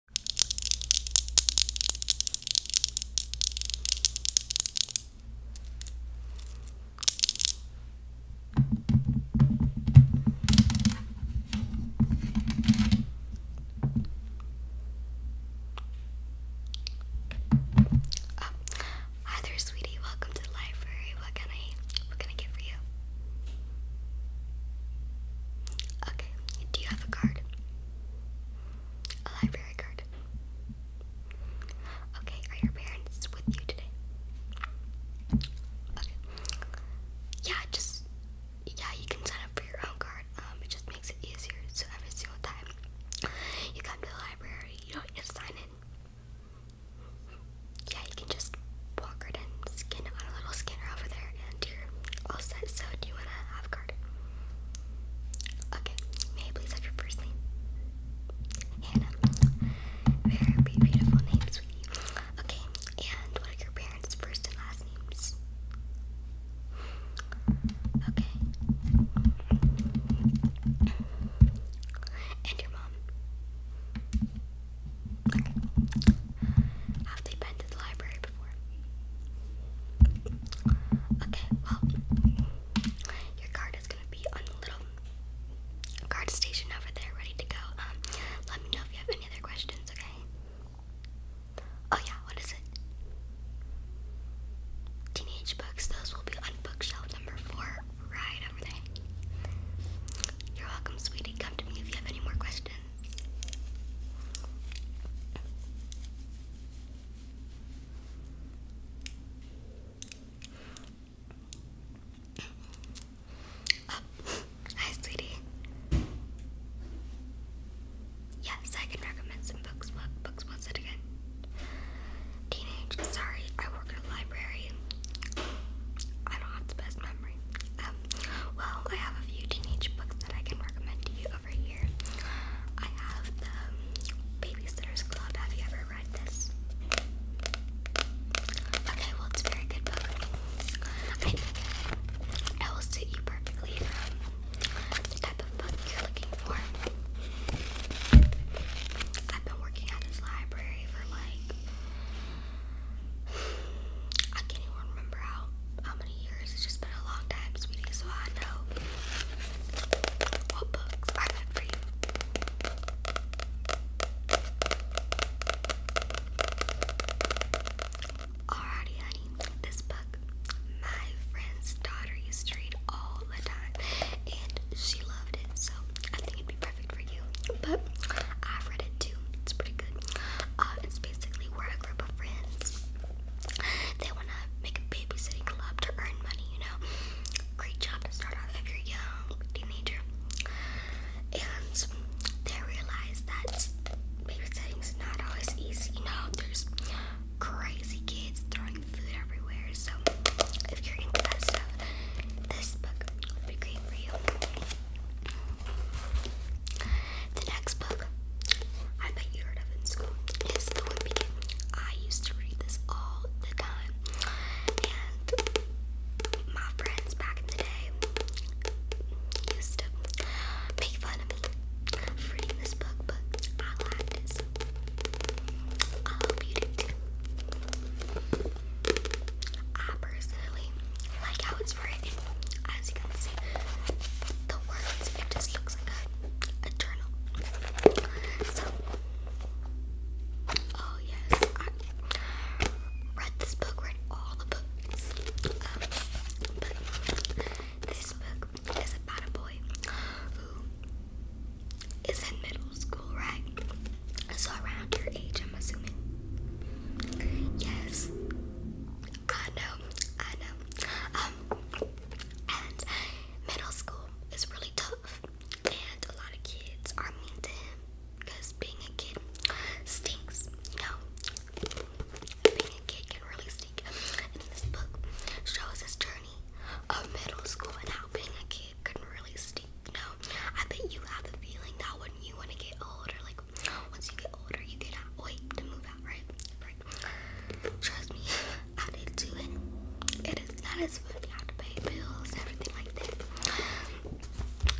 Oh. Ah, Hi there, sweetie. Welcome to the library. What can I what can I get for you? Okay. Do you have a card? A library card. Okay, are your parents with you today? Yeah, just yeah, you can sign up for your own card. Um, it just makes it easier. So every single time you come to the library, you don't just sign in. Yeah, you can just walk right in, scan on a little scanner over there, and you're all set. So, do you want to have a card? Okay, may I please have your first name? Hannah. Very beautiful name, Okay, and what are your parents' first and last names? Okay. And your mom? Have they been to the library Okay, well, your card is gonna be on the little card station over there, ready to go. Um, let me know if you have any other questions, okay? Oh yeah, what is it? Teenage books, those will be on bookshelf number four, right over there. You're welcome, sweetie. Come to me if you have any more questions. Oh, hi, sweetie. Yes, I can recommend some books. What books was again? Teenage. Sorry, I work in a library. I don't have the best memory. Well, I have a few teenage books that I can recommend to you over here. I have the Babysitter's Club. Have you ever read this? Okay, well, it's very good book. I think it will suit you perfectly the type of book you're looking for. I've been working at this library for like. I can't even remember how how many years. It's just been a long time, sweetie, so I know what books I got for you. Alrighty, honey. This book, my friend's daughter used to read all the time, and she loved it, so I think it'd be perfect for you. But I've read it too. It's pretty good. Uh, it's basically where a group of friends they wanna make a babysitting club to earn money, you know. Great job to start off if you're young, teenager. And they realize that babysitting's not always easy, you know, there's crazy kids throwing food everywhere, so if you're into that stuff, this book would be great for you. The next book, I bet you heard of in school, is The Wimpy. I used to read this all the time. And my friends back in the day used to make fun of me for reading this book, but I liked it. I hope you did too. I personally like how it it, as you can see, the words, it just looks like a, journal. So, oh yes, I read this book, read all the books, um, but this book is about a boy who is in middle school, right? So around your age, I'm assuming. Yes. I know, I know. Um, and middle school is really tough, and a lot of kids are mean to him because being a kid stinks, you know. Being a kid can really stink. And this book shows his journey of middle school and how being a kid can really stink. You I bet you have the feeling that when you want to get older, like once you get older, you cannot to move out, right? Trust me, I did do it. It is not as fun. You have to pay bills, everything like that.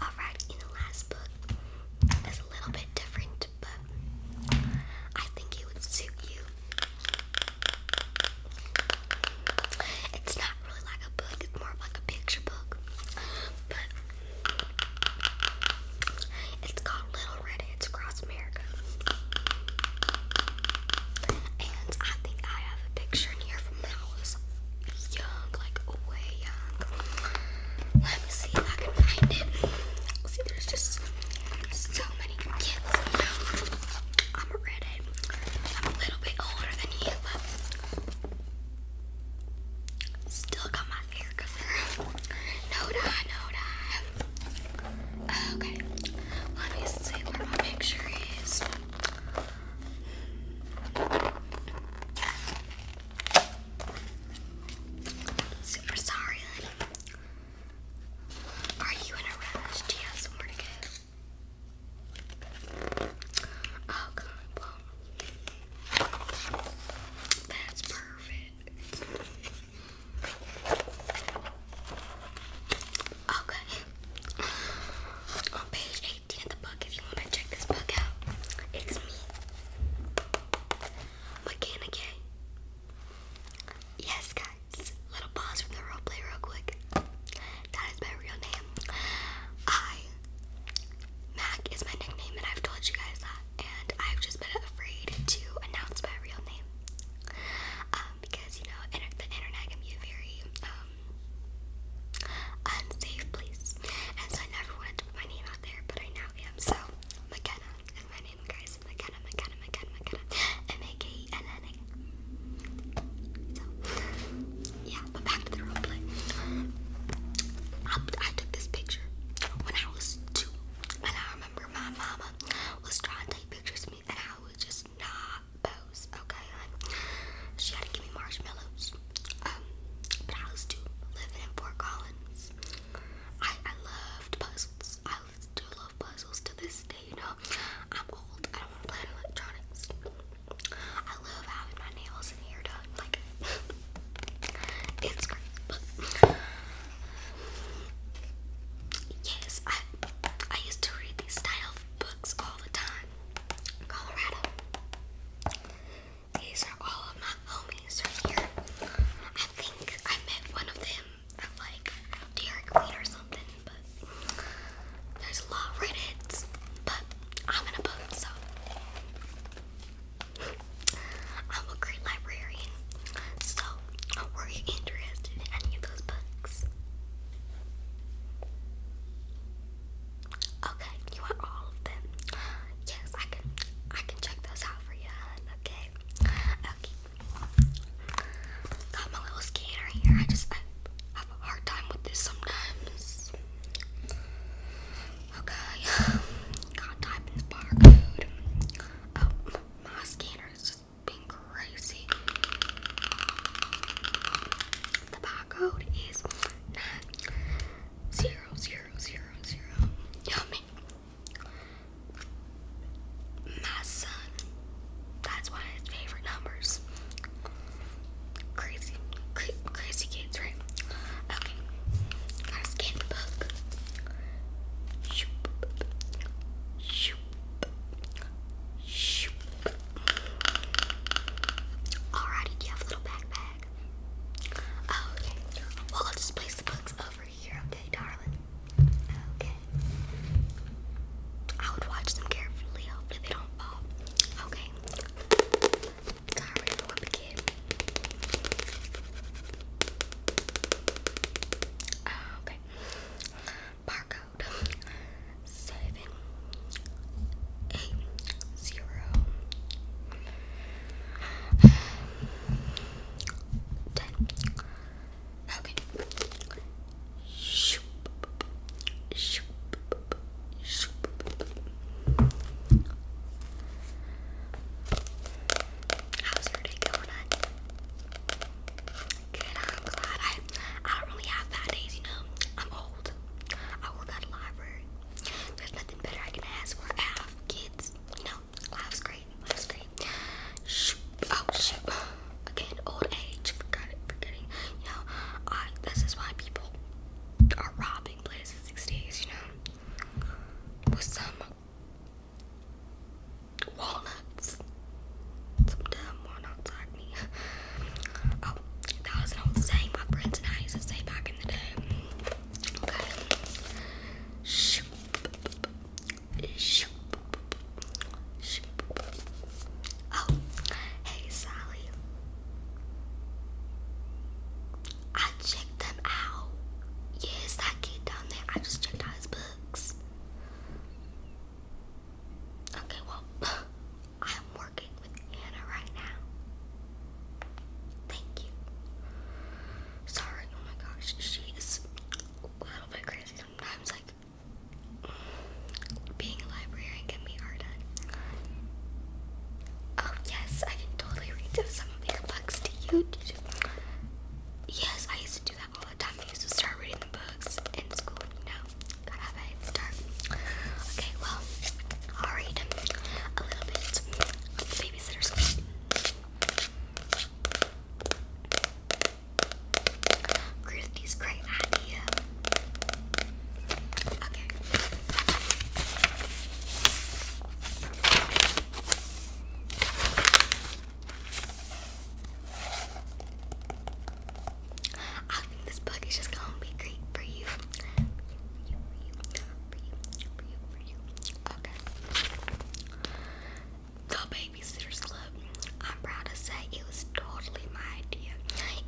Alright, in the last book, it's a little bit different, but I think it would suit you. It's not really like a book, it's more like a picture book. But it's called Little Red Across America. And I think I have a picture here from when I was young, like way young. Let me see if I can find it. See, there's just so many kids. I'm a redhead. I'm a little bit older than you, but still got my here because they're no no Okay, let me see where my picture is. Super sorry, Are you in a rush? Do you have somewhere to go? Oh, God, well, that's perfect. Okay. On page 18 of the book, if you want to check this book out, it's me. Mechanic. Yes, guys. Little pause from the roleplay real quick. That is my real name. I Mac is my nickname and I've told you guys that and I've just been afraid to announce my real name um, because you know the internet can be a very um, unsafe place, and so I never wanted to put my name out there, but I now am. So McKenna is my name, guys. McKenna, McKenna, McKenna, McKenna, M A K E N N A. So yeah, but back to the role I took this picture when I was two, and I remember my mama was trying to take pictures of me and I would just not pose, okay? Like, she had to give me marshmallows. Um, but I was too living in Fort Collins. I, I loved puzzles. I still love puzzles to this day, you know. I'm old. I don't want to play electronics. I love having my nails and hair done. Like, it's great. Yes, I I used to read these style books all the time. Colorado. These are all of my homies right here. I think I met one of them at like Derek Reed or something, but there's a lot of But I'm in a boat, so I'm a great librarian. So, were you interested in any of those books? Okay, you want all of them? Yes, I can. I can check those out for you. Okay. Okay. Got my little scanner here. I just I have a hard time with this sometimes. Okay. Gotta this barcode. Oh, my scanner is just being crazy. The barcode is nine zero zero zero zero. Yummy. My son. That's one of his favorite numbers. Crazy, crazy kids, right? Okay, gotta scan the book. Alrighty, do you have a little backpack? Oh, okay. Well, I'll just place the books over here, okay, darling? Okay. I would watch them carefully. Hopefully, they don't fall. Okay. Got rid of uh, okay. Barcode seven eight zero ten. Okay. Shoop. Shoop. Shoop. How's your day going? Good, I'm glad. I, I don't really have bad days, you know. I'm old. I work at a library. There's nothing better I can ask for. kids. You know, life's great. Life's great. Oh, shoot. Again, old age. Forgot Forgetting. You know, I, this is why people are robbing places these days, you know. With some walnuts. Some dumb walnuts like me. Oh, that was an saying my friends and I used to say back in the day. Okay. Shoop. Shoop. Shoop. Oh, hey Sally. I checked them out. Yes, that kid down there. I just checked out books. Okay, well, I'm working with Anna right now. Thank you. Sorry, oh my gosh, she is a little bit crazy sometimes. Like, being a librarian can be hard Oh, yes, I can totally read some of your books to you. Yes, I used to do that all the time. I used to start reading the books in school, you Gotta have a start. Okay, well, I'll read a little bit babysitter's club. Gruthy's great idea. Okay. I think this book is just gonna be great for you. The Babysitter's Club. I'm proud to say it was totally my idea,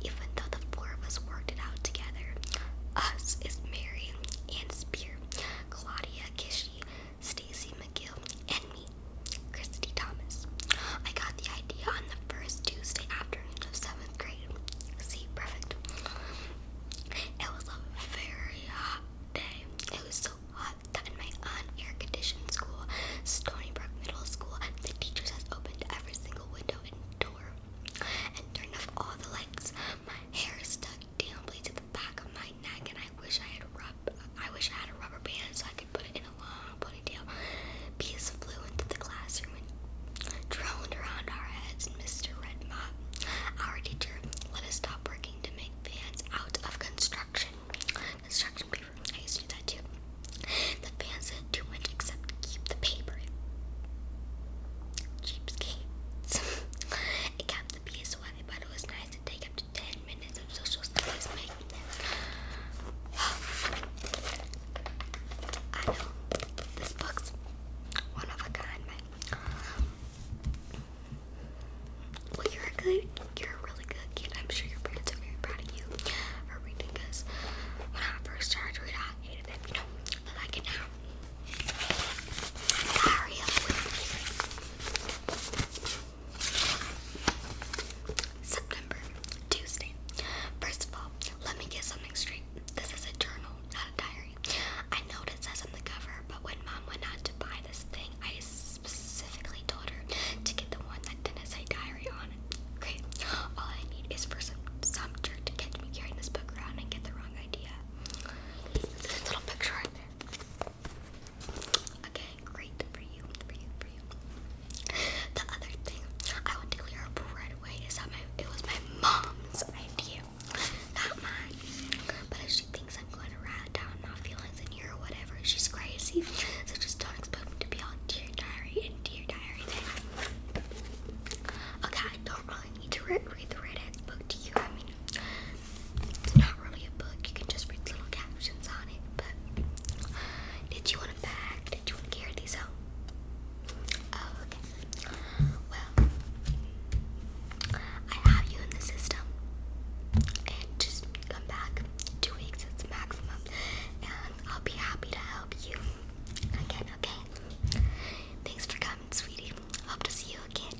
even though the four of us worked it out together. Us is Mary, and Spear, Claudia, Kishi, Stacy McGill, and me, Christy Thomas. I got the idea on the first Tuesday afternoon of seventh grade. See, perfect. It was a very hot day. It was so hot that in my un conditioned school, Stony Brook Middle School, the teachers has opened every single window and door and turned off all the lights. My hair stuck damnably to back of my neck, and I wish I had rub. I wish I had a rubber band so I could put it in a long ponytail. Bees flew into the classroom and droned around our heads. Mr. Redmop, our teacher, let us stop working to make fans out of construction construction paper. I used to do that too. The fans did too much except keep the paper. Cheapskates. it kept the bees away, but it was nice to take it 10 minutes of social studies I know this book's one of a kind, Well, you're a good, you're a really good kid. I'm sure your parents are very proud of you for reading this. When I first started to I hated it, you I like it now. Diary September, Tuesday. First of all, let me get something straight. This is a journal, not a diary. I know what it says on the cover, but when mom went out to buy this thing, I specifically told her to get the one that didn't say diary on it. Great. All I need is for some jerk to catch me carrying this book around and get the wrong idea. This little picture right there. Okay, great for you, for you, for you. The other thing I want to clear right away is that it was my mom's idea, not mine. But if she thinks I'm going to write down my feelings in here or whatever, she's crazy. So just don't expect me to be on dear diary and dear diary thing. Okay, I don't really need to read, the Red Hand's book to you. It's not really a book. You can just read little captions on it. But did you want a bag? Did you want to carry these out? Oh, okay. Well, I have you in the system. And just come back two weeks, it's maximum. And I'll be happy to help you again, okay? Thanks for coming, sweetie. Hope to see you again.